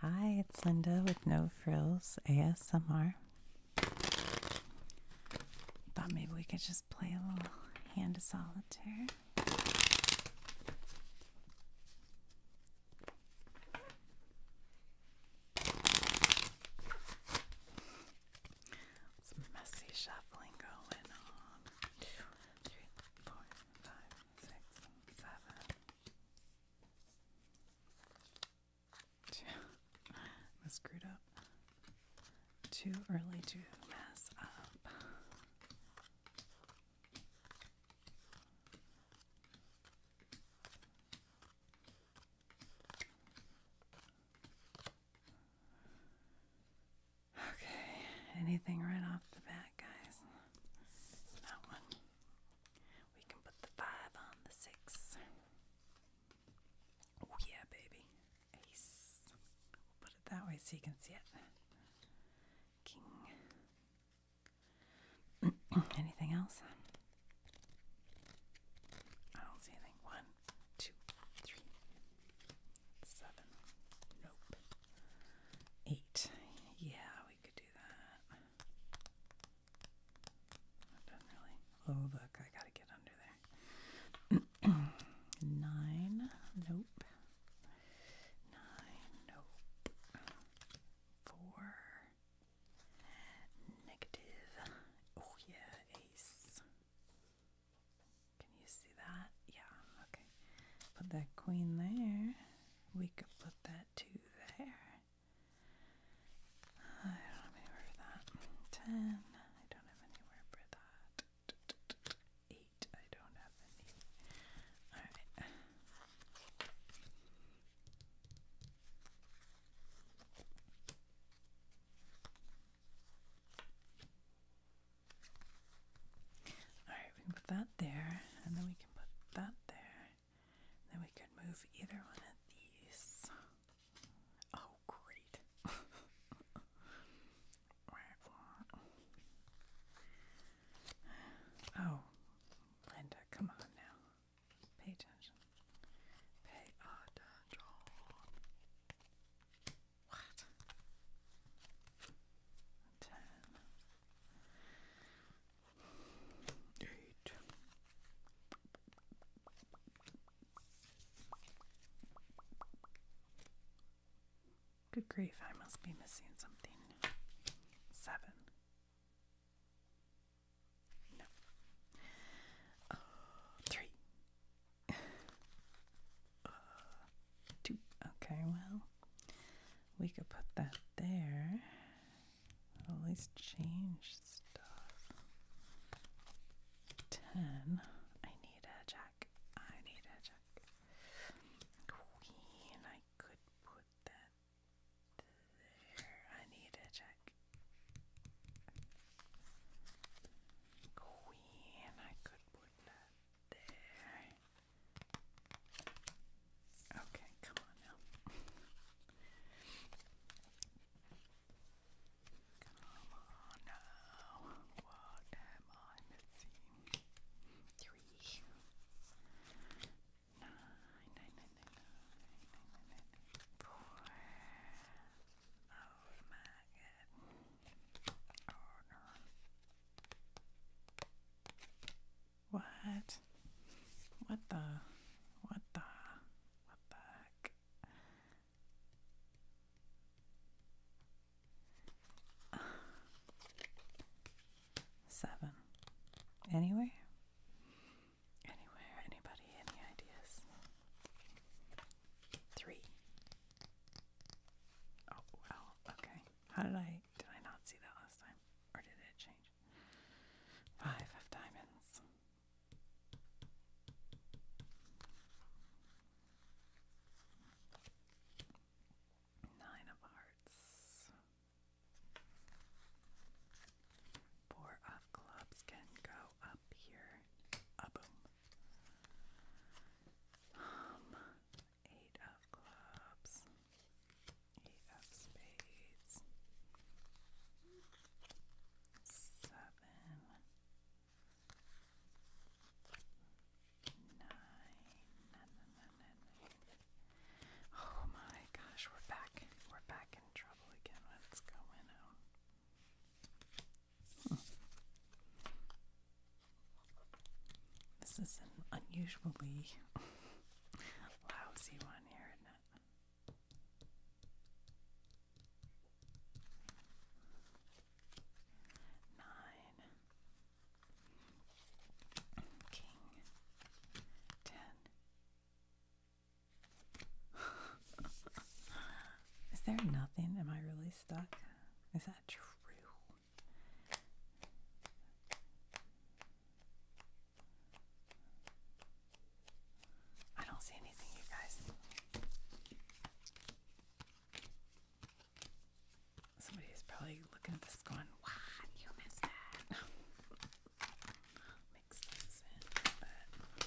Hi, it's Linda with No Frills ASMR. Thought maybe we could just play a little hand of solitaire. Some messy shuffling going on. Two, three, four, five, six, seven. I screwed up. Too early to mess up. Okay, anything right off the bat, guys? That one. We can put the five on the six. Oh, yeah, baby. Ace. We'll put it that way so you can see it. King. anything else? I don't see anything. One, two, three, seven. Nope. Eight. Yeah, we could do that. Oh, look, I gotta get under there. Nine. Nope. Nine. Nope. Four. Negative. Oh, yeah, ace. Can you see that? Yeah, okay. Put that queen there. We could put that two there. I don't have anywhere for that. Ten. I don't have anywhere for that. Eight. I don't have any. Alright. Alright, we can put that there, and then we can put that there. Then we could move either one of these. Oh, great. oh, Linda, come on now. Pay attention. Pay attention. What? Ten. Eight. Good grief, I must be missing something. Seven. No. Uh, three. Uh, Okay, well, we could put that there. that change stuff. 10. I need a jack. I need a jack. Queen, I could put that there. I need a jack. Queen, I could put that there. Okay, come on now. come on now. What am I missing? Three. Nine, nine, nine, nine, nine, nine, nine, nine, four. Oh my god. What? What the? What the? What the heck? Seven. Anywhere? Anywhere? Anybody? Any ideas? Three. Oh well, okay. How did I did I not see that last time? Or did it change? Five of diamonds. Nine of hearts. Four of clubs can go up here. A boom. Um, eight of clubs, eight of spades, seven, nine, nine, nine, nine, nine. Oh my gosh, we're back. We're back in trouble again. What's going on? This is an unusually lousy one here, isn't it? Nine. King. Ten. Is there nothing? Am I really stuck? Is that true? I don't see anything, you guys. Somebody is probably looking at this going, What? You missed that. Mix those but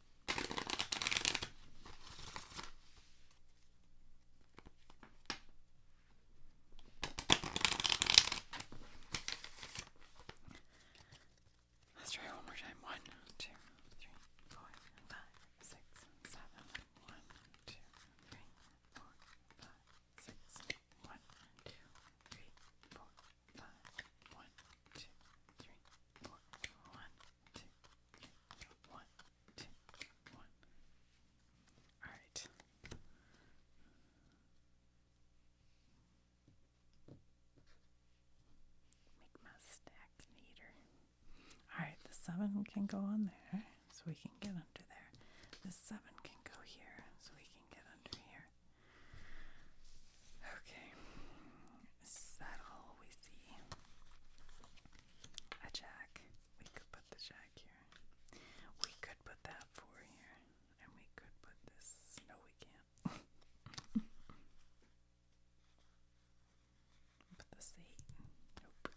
Let's try one more time. One, two, three, four, five, six, seven. One, two, three, four, five, six. One, two, three, four, five, one, two, three, four, one, two, three, one, two, one. All right. Make my stack neater. Alright, the seven can go on there so we can get under there. The seven can go here so we can get under here. Okay, saddle, we see a jack. We could put the jack here. We could put that four here. And we could put this. No, we can't. put this eight. Nope.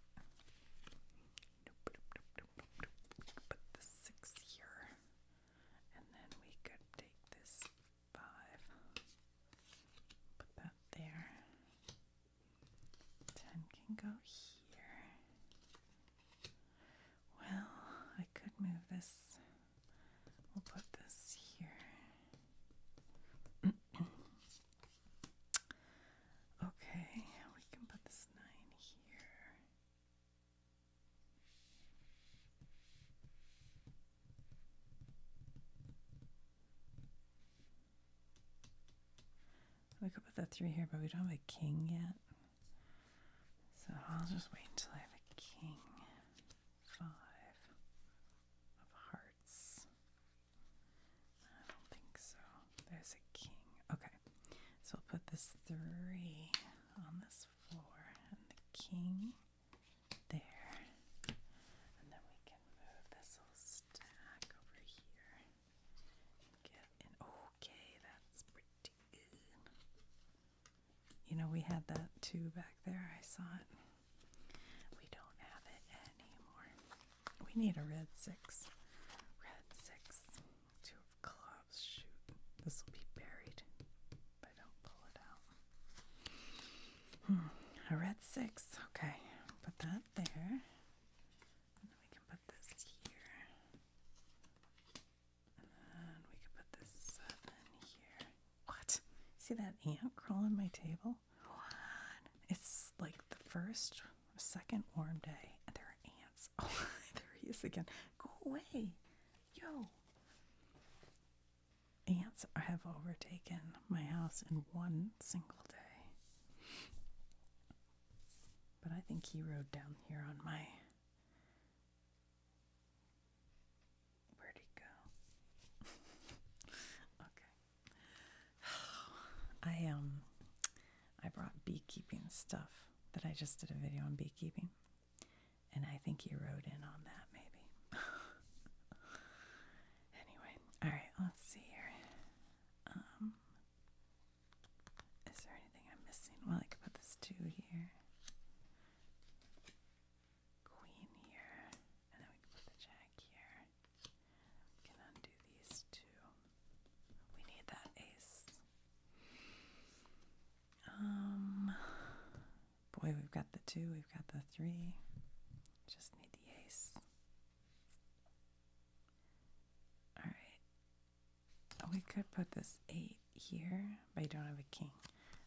Nope, nope, nope, nope, nope. put the six here and then we could take this five, put that there. Ten can go here. Well, I could move this. We'll put this here. okay, we can put this nine here. We could put the three here, but we don't have a king yet. So I'll just wait until I have a king. Five of hearts. I don't think so. There's a king. Okay. So I'll put this three on this four, and the king there. And then we can move this whole stack over here get in. Okay, that's pretty good. You know, we had that too back there. I saw it. We don't have it anymore. We need a red six. Red six. Two of clubs shoot. This will be buried if I don't pull it out. Hmm. I read six. Okay. Put that there. we can put this here. And we can put this seven here. What? See that ant crawling my table? What? It's like the first second warm day, and there are ants Oh, there he is again. Go away. Yo. Ants have overtaken my house in one single day. But I think he rode down here on my. Where'd he go? okay. I um I brought beekeeping stuff that I just did a video on beekeeping. And I think you wrote in on that, maybe. anyway, all right, let's see here. Um, there anything I'm missing? Well, I could put this two here, queen here, and then we put the jack here. can undo these two. We need that ace. Um, boy, we've got the two, we've got the three. Just need the ace. Alright. we could put this eight here, but you don't have a king.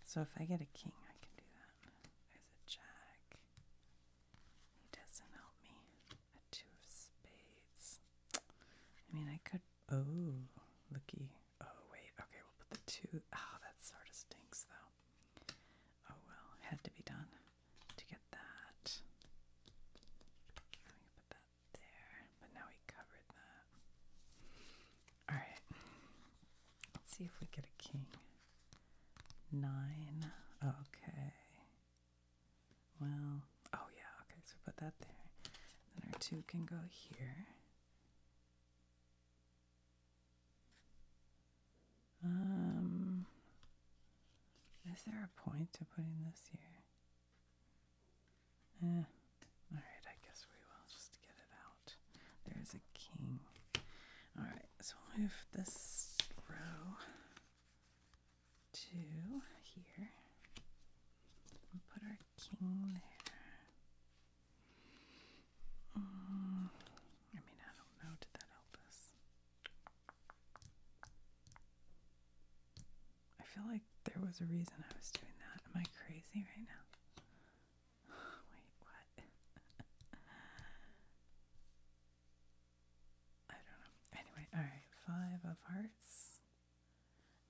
So if I get a king, I can do that. There's a jack. doesn't help me. A two of spades. I mean, I could Oh, looky. Oh, wait. Okay, we'll put the two. Oh, that sort of stinks, though. Oh, well. Had to be done to get that. I'm put that there. But now we covered that. Alright. Let's see if we get a king. Nine. Okay. Well, oh yeah, okay, so put that there. Then our two can go here. Um, is there a point to putting this here? Eh, alright, I guess we will just get it out. There's a king. Alright, so we this row two here. put our king there. Mm, I mean, I don't know. Did that help us? I feel like there was a reason I was doing that. Am I crazy right now? Wait, what? I don't know. Anyway, alright, five of hearts.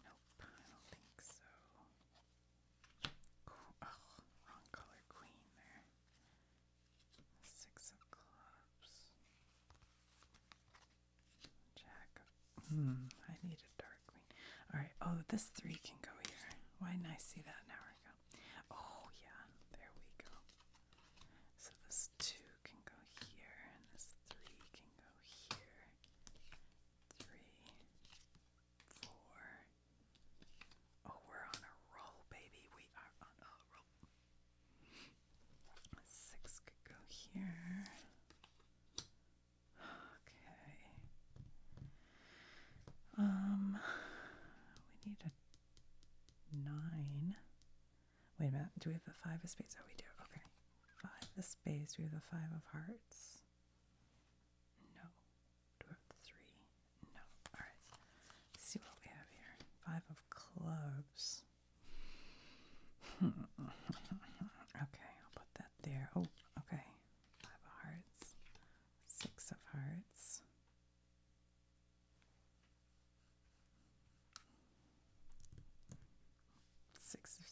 Nope, I don't think so. oh, wrong color queen there. Six of clubs. Jack hmm, I need a dark queen. Alright, oh this three can go here. Why didn't I see that an hour ago? Oh yeah, there we go. So this two can go here, and this three can go here. Three, four. Oh, we're on a roll, baby. We are on a roll. Six could go here. Okay. Um, we need a nine. Wait a minute. Do we have the five of spades? Oh, we do. Okay. Five of spades. Do we have the five of hearts? No. Do we have the three? No. All see what we have here. Five of clubs. okay. I'll put that there. Oh, okay. Five of hearts. Six of hearts. Six of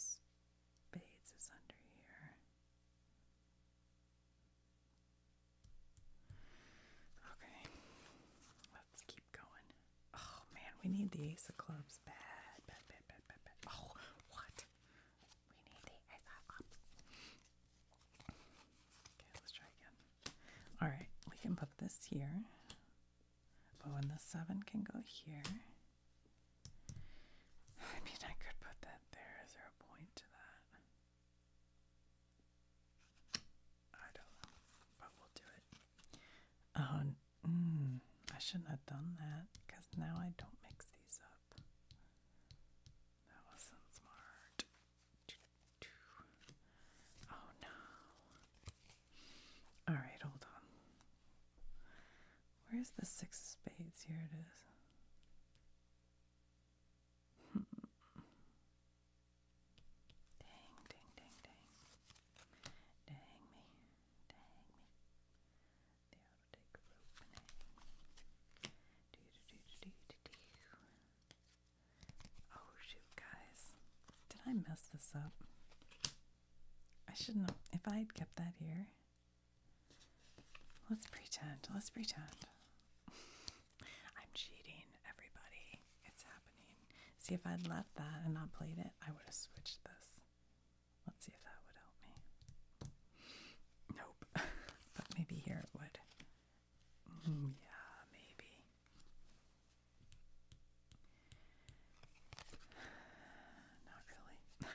spades is under here. Okay, let's keep going. Oh man, we need the ace of clubs bad, Oh, what? We need the ace of clubs. Okay, let's try again. All right, we can put this here. But when the seven can go here, I mean, I could put that there. Is there a point to that? I don't know, but we'll do it. Oh, mm, I shouldn't have done that because now I don't mix these up. That wasn't smart. Oh no. Alright, hold on. Where's the six spades? Here it is. Hmm. Dang, dang, dang, dang. Dang me. Dang me. The outer take rope Do do do do do do. Oh shoot, guys. Did I mess this up? I shouldn't have. If I had kept that here. Let's pretend. Let's pretend. I'm cheating, everybody. It's happening. See, if I'd left that and not played it, I would have switched this. Let's see if that would help me. Nope. but maybe here it would. Yeah, maybe. Not really.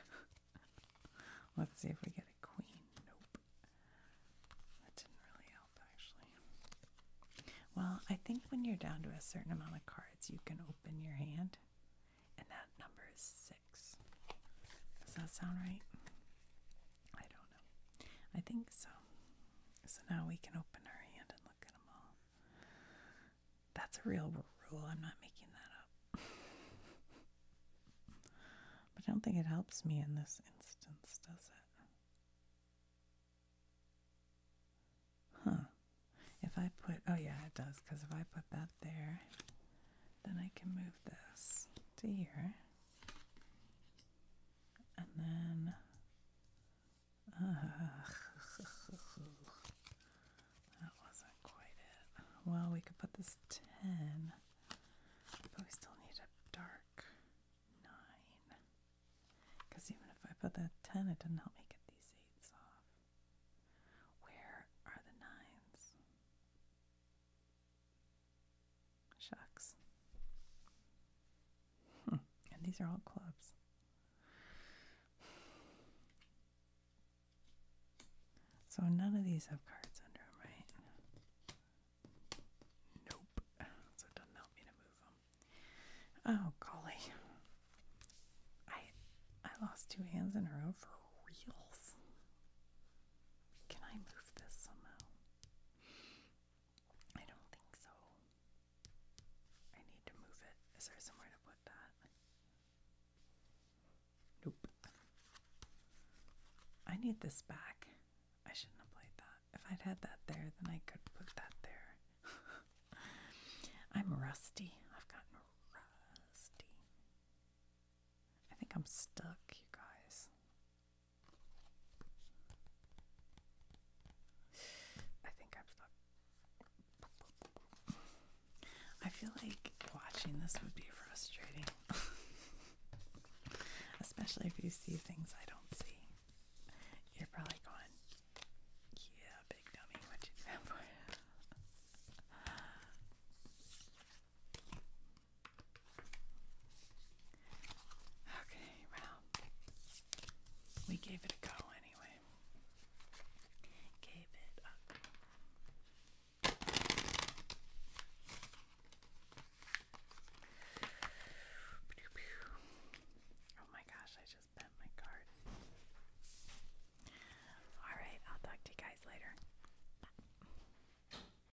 Let's see if we get a queen. Nope. That didn't really help, actually. Well, I think when you're down to a certain amount of cards, you can open your hand, and that number is six. Does that sound right? I don't know. I think so. So now we can open our hand and look at them all. That's a real rule. I'm not making that up. but I don't think it helps me in this instance, does it? Huh. If I put, oh yeah, it does, because if I put that there, then I can move this to here and then that wasn't quite it. Well, we could put this 10, but we still need a dark 9. Because even if I put the 10, it didn't help me get these 8s off. Where are the 9s? Shucks. Hmm. And these are all clubs. So none of these have cards under them, right? Nope. So it doesn't help me to move them. Oh golly, I I lost two hands in a row for reals. Can I move this somehow? I don't think so. I need to move it. Is there somewhere to put that? Nope. I need this back. I shouldn't have played that. If I'd had that there, then I could put that there. I'm rusty. I've gotten rusty. I think I'm stuck, you guys. I think I'm stuck. I feel like watching this would be frustrating. Especially if you see things I don't see. You're probably going, yeah, big dummy, what you do Okay, well, we gave it a go anyway. Gave it up. Oh my gosh, I just bent my card. Alright, I'll talk to you guys later.